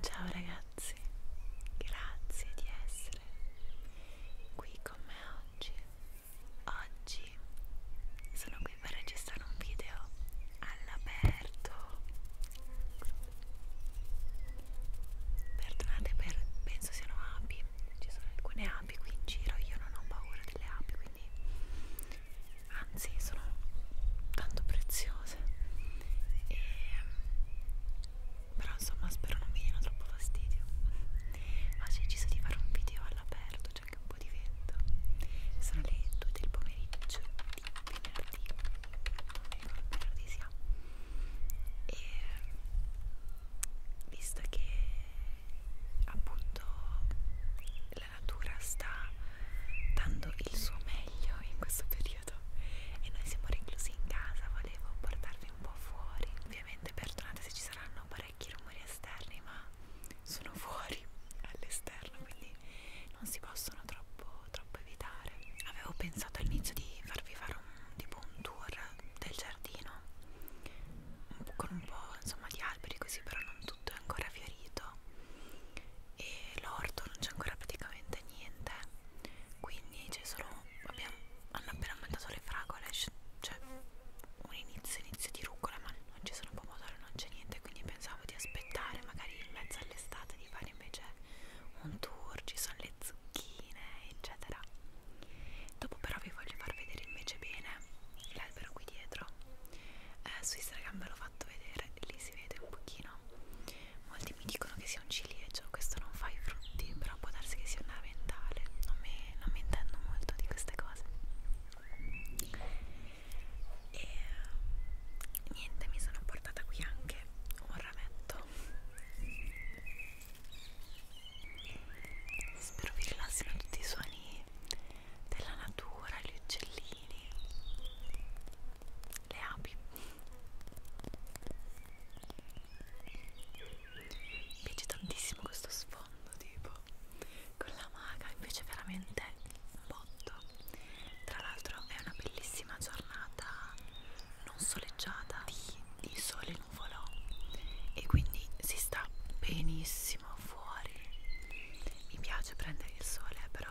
Ciao ragazzi, grazie di essere qui con me oggi. Oggi sono qui per registrare un video all'aperto. Perdonate per penso siano api, ci sono alcune api qui in giro, io non ho paura delle api, quindi anzi sono tanto preziose e però insomma spero non vi diano troppo fastidio oggi ho deciso di fare un video all'aperto c'è cioè anche un po' di vento sono le 2 del pomeriggio di venerdì non mi ricordo venerdì sia e visto che appunto la natura sta dando il suo meglio in questo periodo periodo e noi siamo reclusi in casa, volevo portarvi un po' fuori. Ovviamente perdonate se ci saranno parecchi rumori esterni, ma sono fuori all'esterno, quindi non si possono troppo, troppo evitare. Avevo pensato all'inizio di farvi fare un, tipo un tour del giardino con un po' insomma di alberi così, però non tutto è ancora fiorito e l'orto non c'è ancora praticamente niente quindi c'è solo abbiamo, hanno appena aumentato le fragole cioè un inizio inizio di rucola ma non ci sono pomodori non c'è niente quindi pensavo di aspettare magari in mezzo all'estate di fare invece un tour ci sono le zucchine eccetera dopo però vi voglio far vedere invece bene l'albero qui dietro eh, su Instagram ve l'ho fatto vedere lì si vede un pochino molti mi dicono che sia un ciliegio, questo non fa i frutti, però può darsi che sia un raventale, non mi, non mi intendo molto di queste cose. E niente, mi sono portata qui anche un rametto. Spero vi rilassino tutti i suoni della natura, gli uccellini le api mi piace tantissimo questo sfondo tipo con la maga invece veramente un botto tra l'altro è una bellissima giornata non soleggiata di, di sole nuvolo e quindi si sta benissimo fuori mi piace prendere il sole però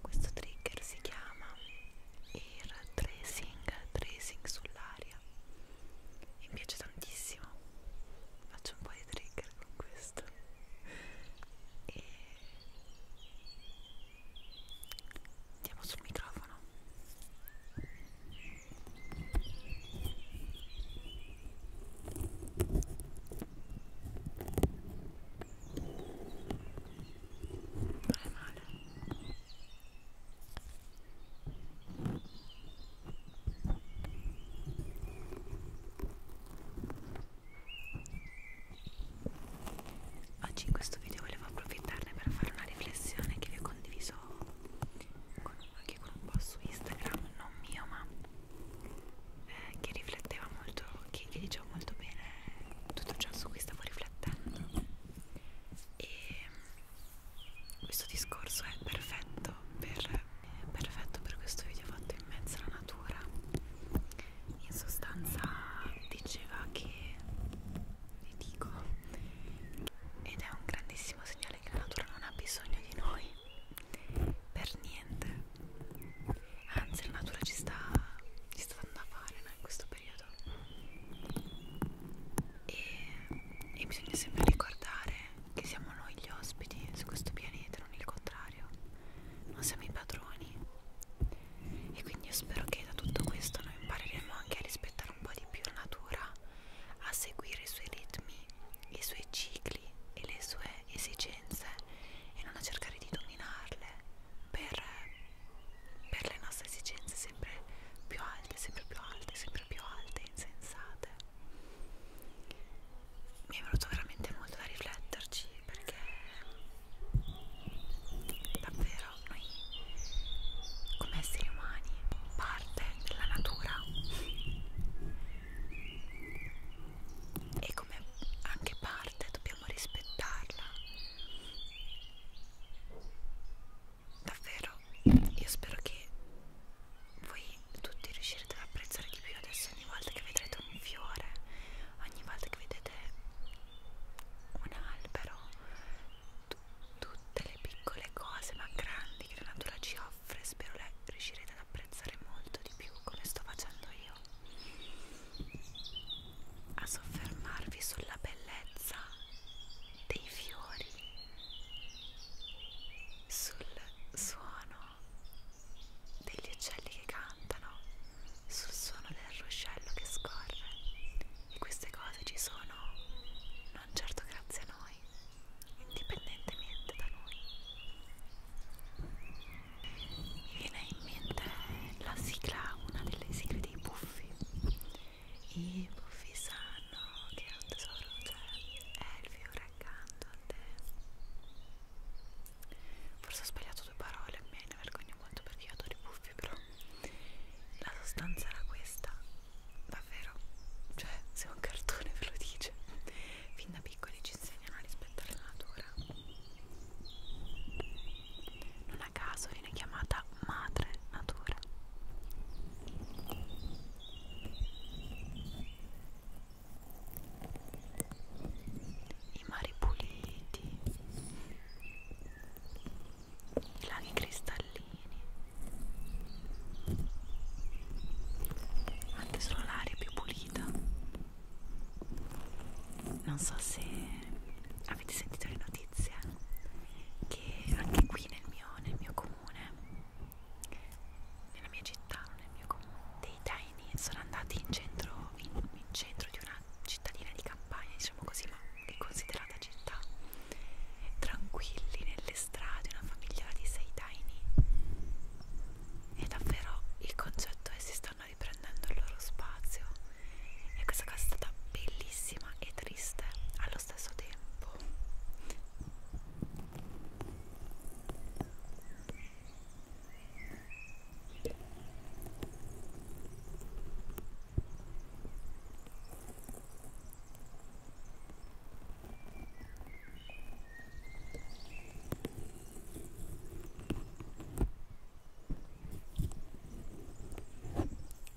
questo trigger si chiama il tracing, tracing sull'aria mi piace tantissimo faccio un po' di trigger con questo e Andiamo sul microfono. Non è male. Oggi in questo video volevo approfittarne per fare una riflessione che vi ho condiviso con, anche con un po' su Instagram, non mio ma eh, che rifletteva molto, che, che diceva molto bene tutto ciò su cui stavo riflettendo e questo discorso è perfetto per, è perfetto per questo video fatto in mezzo alla natura in sostanza diceva che vi dico ed è un grandissimo segnale che la natura non ha bisogno di noi per niente anzi la natura ci sta ci sta dando da fare no, in questo periodo e, e bisogna sempre ricordare che siamo noi gli ospiti su questo pianeta non il contrario necessario, non siamo i padroni e quindi io spero che da tutto questo noi impareremo anche a rispettare un po' di più la natura, a seguire i suoi ritmi, i suoi cicli e le sue esigenze e non a cercare di dominarle per, per le nostre esigenze sempre più alte, sempre più alte, sempre più alte e insensate. Mi è venuto veramente molto da rifletterci perché davvero noi come esseri umani parte della natura e come anche parte dobbiamo rispettarla davvero io spero che voi tutti riuscirete ad apprezzare di più adesso ogni volta che vedrete un fiore ogni volta che vedete un albero tutte le piccole cose ma grandi che la natura ci offre spero le riuscirete ad apprezzare molto di più come sto facendo io a soffermarvi sulla bellezza dei fiori sul suono degli uccelli che cantano, sul suono del ruscello che scorre e queste cose ci sono non certo grazie a noi, indipendentemente da noi. Mi viene in mente la sigla, una delle sigle dei buffi. I buffi sanno che un tesoro c'è, cioè è il fiore accanto a te. Forse ho sbagliato due parole, me ne vergogno molto perché io adoro i buffi, però la sostanza era questa, davvero, cioè se un cartone ve lo dice, fin da piccoli ci insegnano a rispettare la natura. Non a caso viene chiamata madre natura i mari puliti, i laghi cristallini, anche solo l'aria più pulita. Non so se avete sentito le notizie che anche qui nel mio, nel mio comune, nella mia città, nel mio comune, dei taini sono andati in centro in, in centro di una cittadina di campagna, diciamo così, ma è considerata città, tranquilli nelle strade, una famiglia di sei daini. E davvero il concetto è si stanno riprendendo il loro spazio. E questa cosa è stata bellissima e triste allo stesso tempo.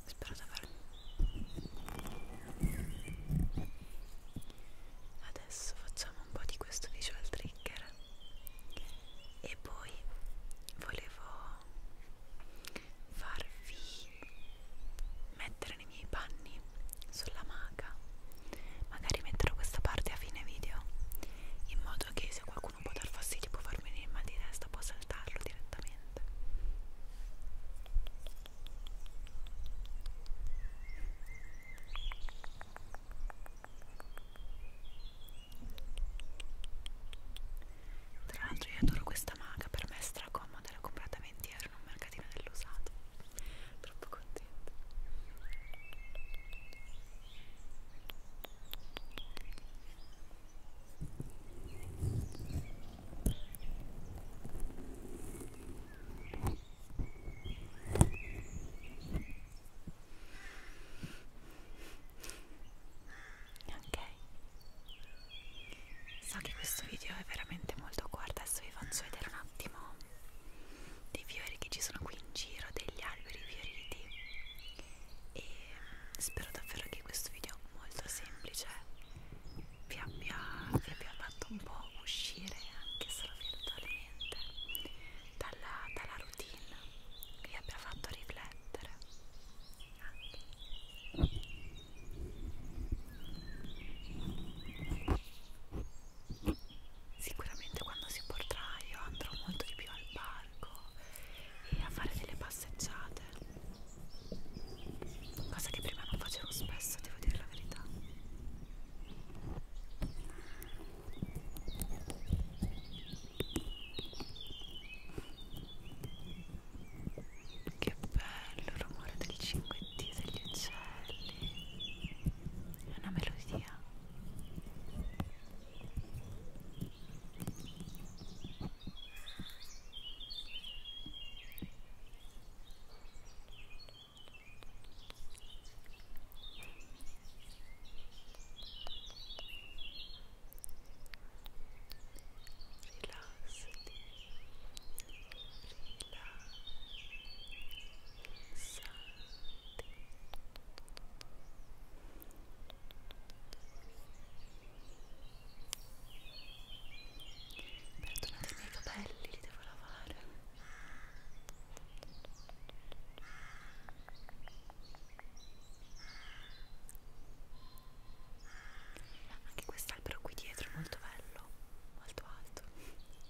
Spero di aver adesso facciamo un po' di questo visual trigger e poi volevo farvi mettere nei miei panni sulla maga magari metterò questa parte a fine video in modo che se qualcuno può dar fastidio può farmi un mal di testa può saltarlo direttamente tra l'altro io adoro questa maga, per me è stracomoda, l'ho comprata a 20 euro in un mercatino dell'usato. Troppo contenta. Ok. So che questo video è veramente molto corto, adesso vi faccio vedere un attimo dei fiori che ci sono qui in giro, degli alberi fioriti e mm, spero davvero che questo video molto semplice vi abbia, vi abbia fatto un po' uscire anche solo virtualmente dalla, dalla routine che vi abbia fatto riflettere anche sicuramente quando si potrà io andrò molto di più al parco e a fare delle passeggiate cosa che prima non facevo spesso devo dire la verità che bello il rumore del cinguettio degli uccelli. È una melodia. Perdonate i miei capelli, li devo lavare. Ora anche quest'albero qui dietro è molto bello, molto alto. Okay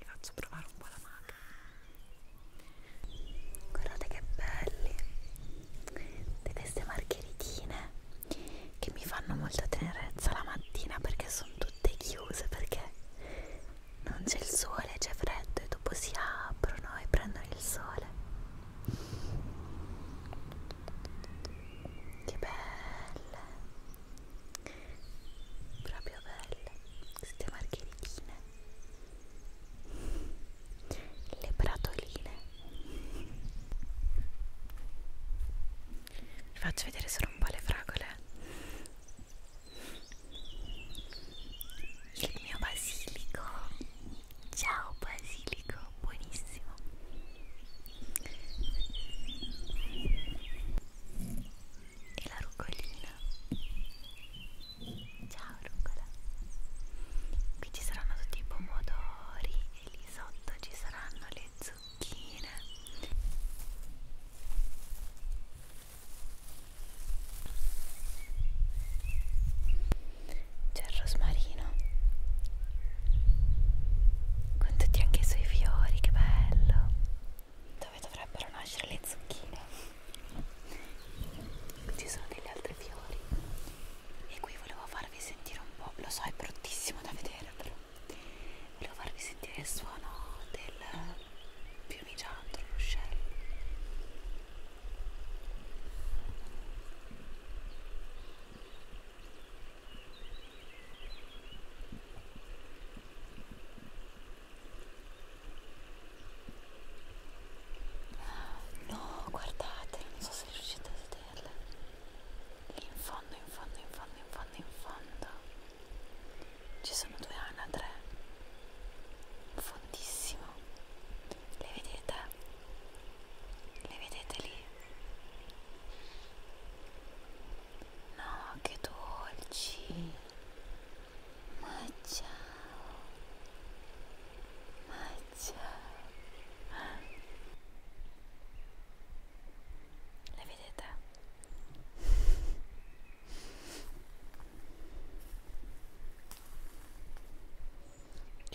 vi faccio provare un po' la maca guardate che belli di queste margheritine che mi fanno molta tenerezza la mattina perché sono tutte chiuse perché non c'è il sole c'è freddo e dopo si aprono e prendono il sole che belle proprio belle queste margheritine le bratoline vi faccio vedere solo un po' le fragole il mio basilico ciao basilico buonissimo e la rucolina ciao rucola qui ci saranno tutti i pomodori e lì sotto ci saranno le zucchine c'è il rosmarino con tutti anche i suoi fiori, che bello! Dove dovrebbero nascere le zucchine? Ci sono degli altri fiori e qui volevo farvi sentire un po', lo so è bruttissimo da vedere però volevo farvi sentire il suono del piumigiato, l'uscello No, guardate, non so se riuscite a vederle. Lì in fondo, in fondo, in fondo, in fondo, in fondo. Ci sono due anatre. Fondissimo. Le vedete? Le vedete lì? No, che dolci. Ma ciao. Ma ciao. Le vedete?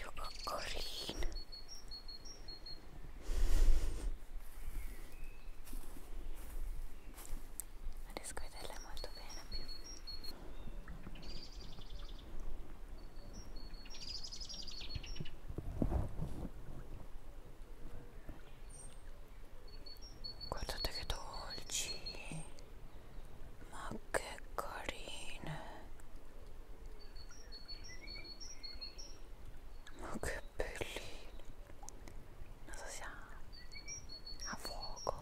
Io coccorino riesco a vederla molto bene più guardate che dolci ma che carine ma che cappellini non so se ha a fuoco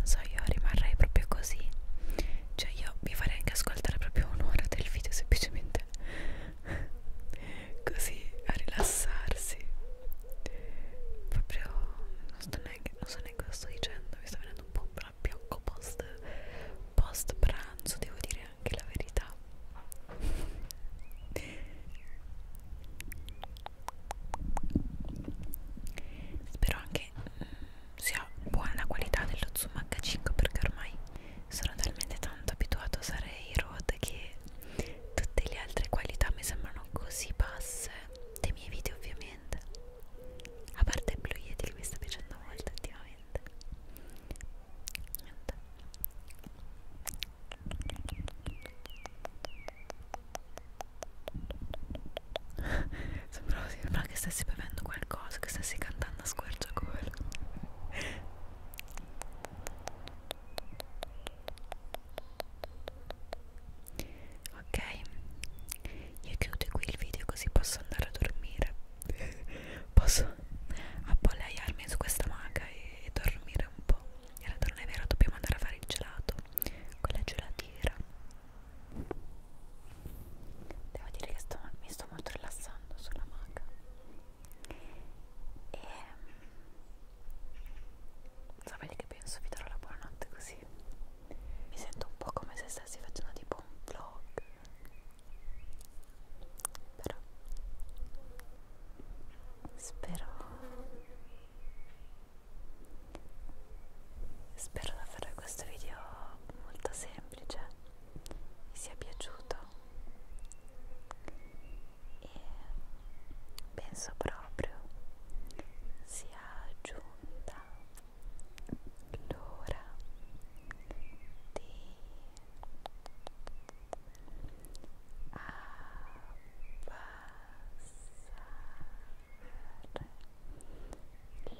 Non so, io rimarrei proprio così cioè io vi farei anche ascoltare proprio un'ora del video semplicemente così a rilassarsi proprio non, sto neanche, non so neanche cosa sto dicendo mi sta venendo un po' un abbiocco post, post pranzo devo dire anche la verità spero anche sia buona la qualità dello zoom H5 perché ormai sono talmente tanto abituato a usare i ROD che tutte le altre qualità mi sembrano così basse dei miei video ovviamente a parte il Blue Yeti che mi sta piacendo molto ultimamente niente Sembrava, sembrava che stessi bevendo qualcosa, che stessi cantando a squarciagola Ok, io chiudo qui il video così posso andare a dormire Posso appollaiarmi su questa maga e, e dormire un po' In realtà non è vero, dobbiamo andare a fare il gelato Con la gelatiera devo dire che sto, mi sto molto rilassando sulla maga e mm, sapete che penso vi darò la buonanotte così mi sento un po' come se stessi facendo tipo un vlog però spero spero di fare questo video molto semplice semplice vi sia piaciuto e penso proprio sia giunta l'ora di abbassare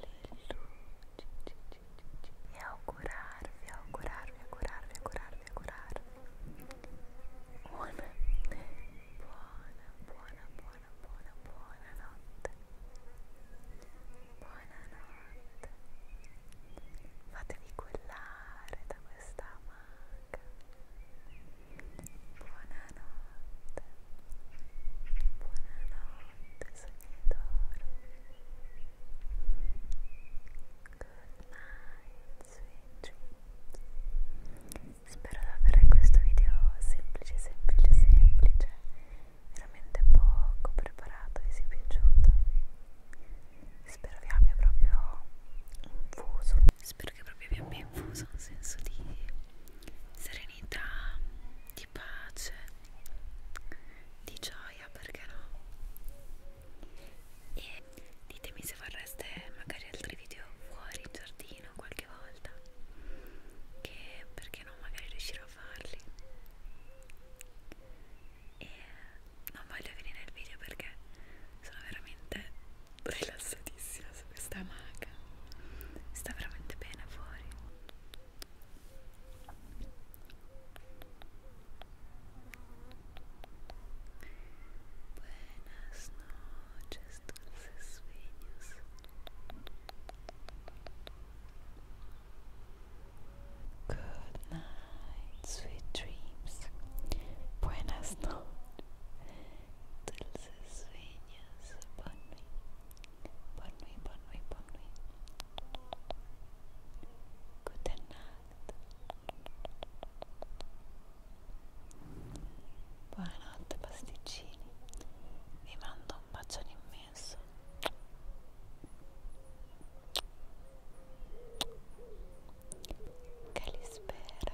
le luci e augurarvi, augurarvi, augurarvi, augurarvi, augurarvi buona, buona, buona, buona, buona, buona notte buonanotte fatevi quellare da questa amaca buonanotte Buonanotte sognatore. Good night, sweet dreams. Spero davvero che questo video semplice, semplice, semplice, veramente poco preparato vi sia piaciuto. Spero vi abbia proprio infuso. Spero che proprio vi abbia infuso un senso di serenità, di pace di gioia perché no e ditemi se vorreste magari altri video fuori in giardino qualche volta che perché no magari riuscirò a farli e non voglio finire il video perché sono veramente rilassatissima su questa maga sta veramente bene fuori Buenas noches, dulces sueños. Good night, sweet dreams. Buenas noches, dulces sueños upon me. Bonne nuit, bonne nuit, bonne nuit. Gute Nacht. Buonanotte pasticcini. Vi mando un bacione immenso. Che li spera.